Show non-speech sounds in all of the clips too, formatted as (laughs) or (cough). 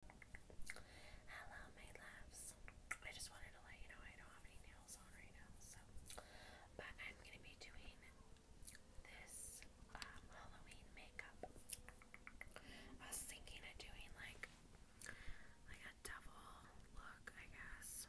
Hello, my loves. I just wanted to let you know I don't have any nails on right now, so but I'm gonna be doing this um, Halloween makeup. I was thinking of doing like like a double look, I guess.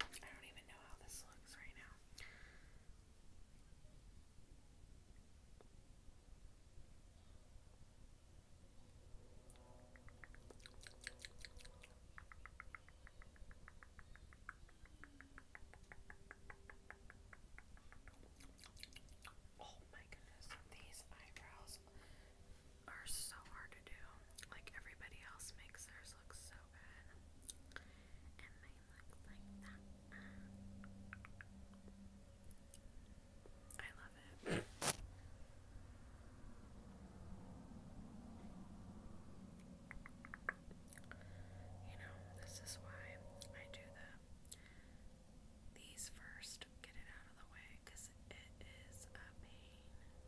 I don't even know how this looks right now. Oh my goodness, these eyebrows are so hard to do. Like everybody else makes theirs look so good. And mine looks like that. I love it. You know, this is why I do the these first, get it out of the way, because it is a pain.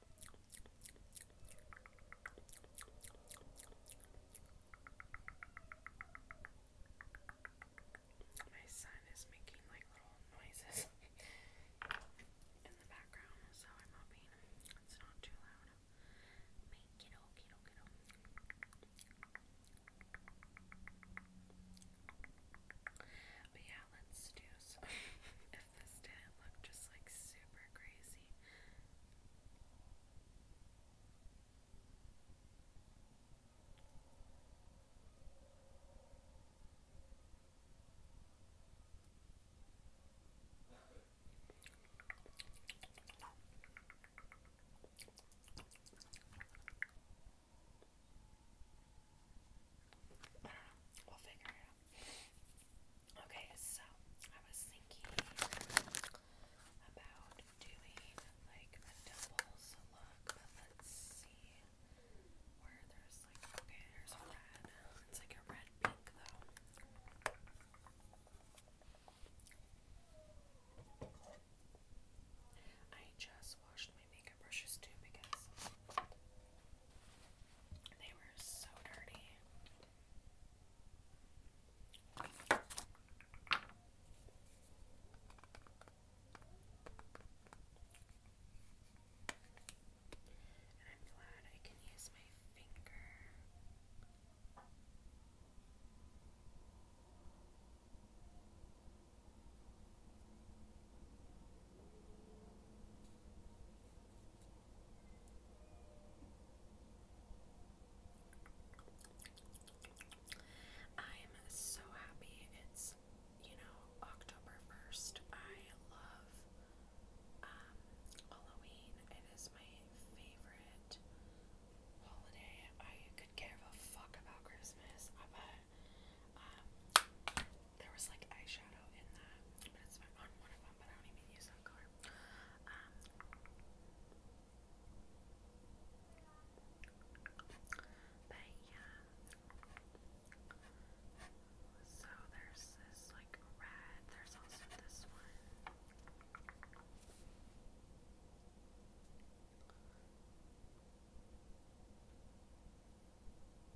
My son is making like little noises (laughs) in the background, so I'm hoping it's not too loud. But yeah, let's do some (laughs) this didn't look just like super crazy. I don't know. We'll figure it Okay, so I was thinking about doing like a doubles look, let's see where there's like okay, there's red. It's like a red pink though. I just washed my makeup brushes too because they were so dirty. And I'm glad I can use my finger. I'm so happy it's, you know, October 1st. I love um, Halloween. It is my favorite holiday. I could care a fuck about Christmas, um, there was like eyeshadow in that, one, but I do even use color. Um, but yeah. So there's this like red, there's also this one.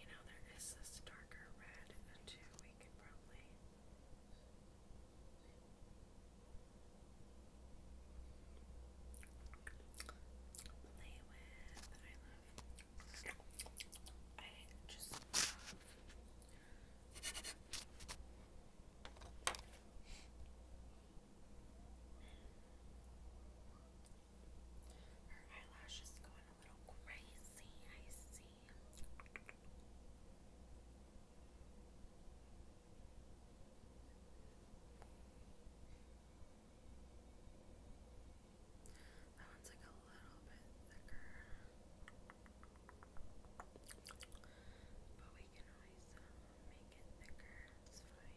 You know, there is this darker red too. We could probably. Play with. I love I her eyelashes going a little crazy, I see. That one's like a little bit thicker. But we can always um, make it thicker, it's fine.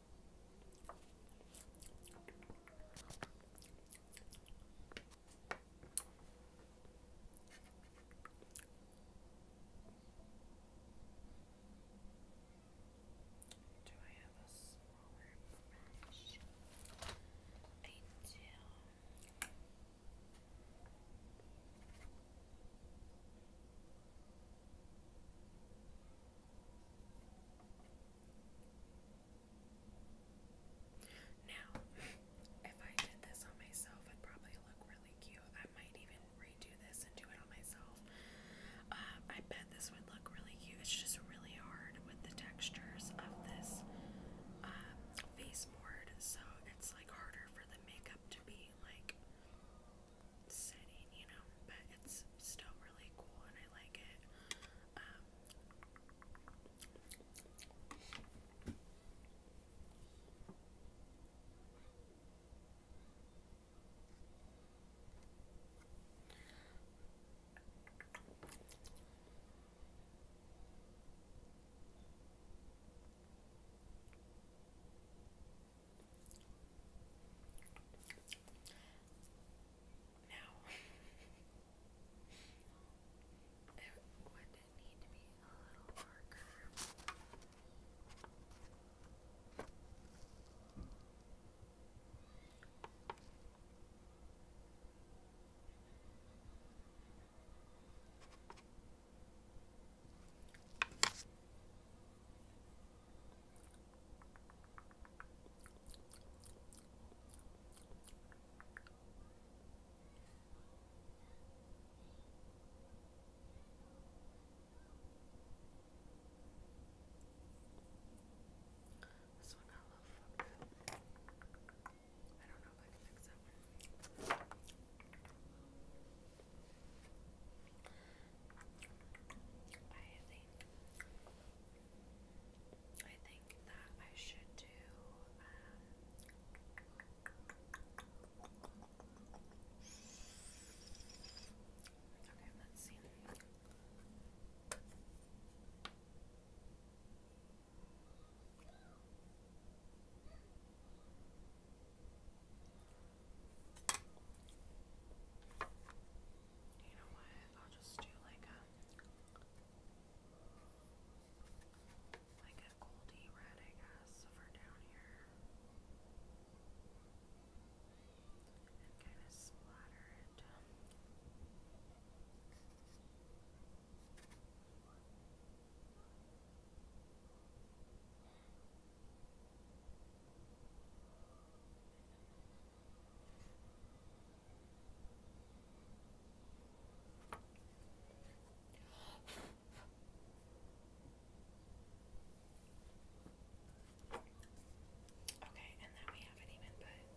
Do I have a smaller brush? I do. Now, (laughs) if I did this on myself, it'd probably look really cute. I might even redo this and do it on myself. Um, I bet this would look really cute. It's just really hard with the textures of this um, face board, so it's like harder for the makeup to be like setting, you know, but it's still really cool and I like it. Um, I now, it would need to be a little darker. This one got a little fucked I don't know if I can fix that think I think that I should do um, Okay, let's see. You know what? I'll just do like a like a goldy red, I guess, for down here. And kind of splatter it. Okay. Okay, and then we haven't even put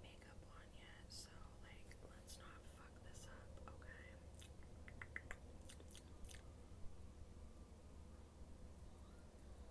makeup on yet, so like let's not fuck this up, okay?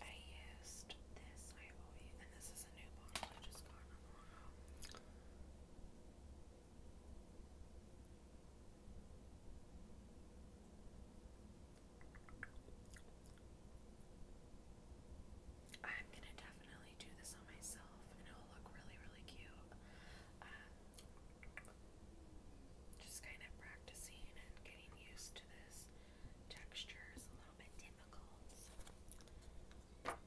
I used this Hyboy, and this is a new bottle I just got I'm gonna definitely do this on myself and it'll look really, really cute. Um, just kind of practicing and getting used to texture is a little bit difficult. let's bronze up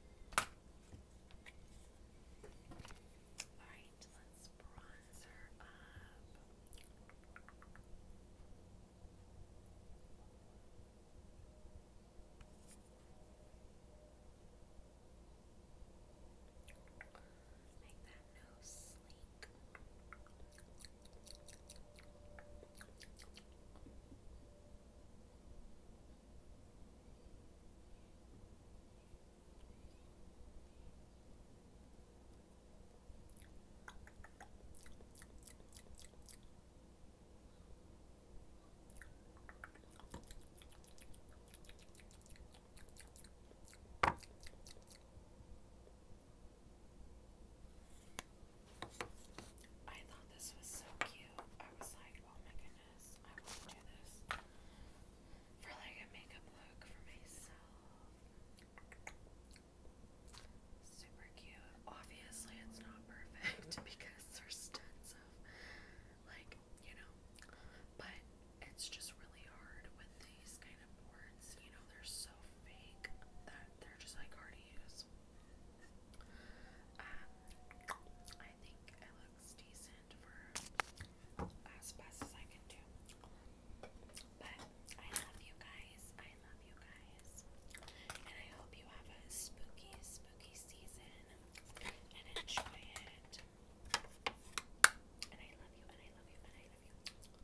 no sleek. All I thought this was so cute. I was like, oh my goodness, I want to do this for like a makeup look for myself. Super cute. Obviously, it's not perfect (laughs) because there's tons of like, you know, but it's just really hard with these kind designer boards, you know, they're so fake that they're just like hard to use. Um, I think it looks decent for as best as I can do. But I love you guys. I love you guys. And I hope you have a spooky, spooky season and enjoy it. And I love you, and I love you, and I love you.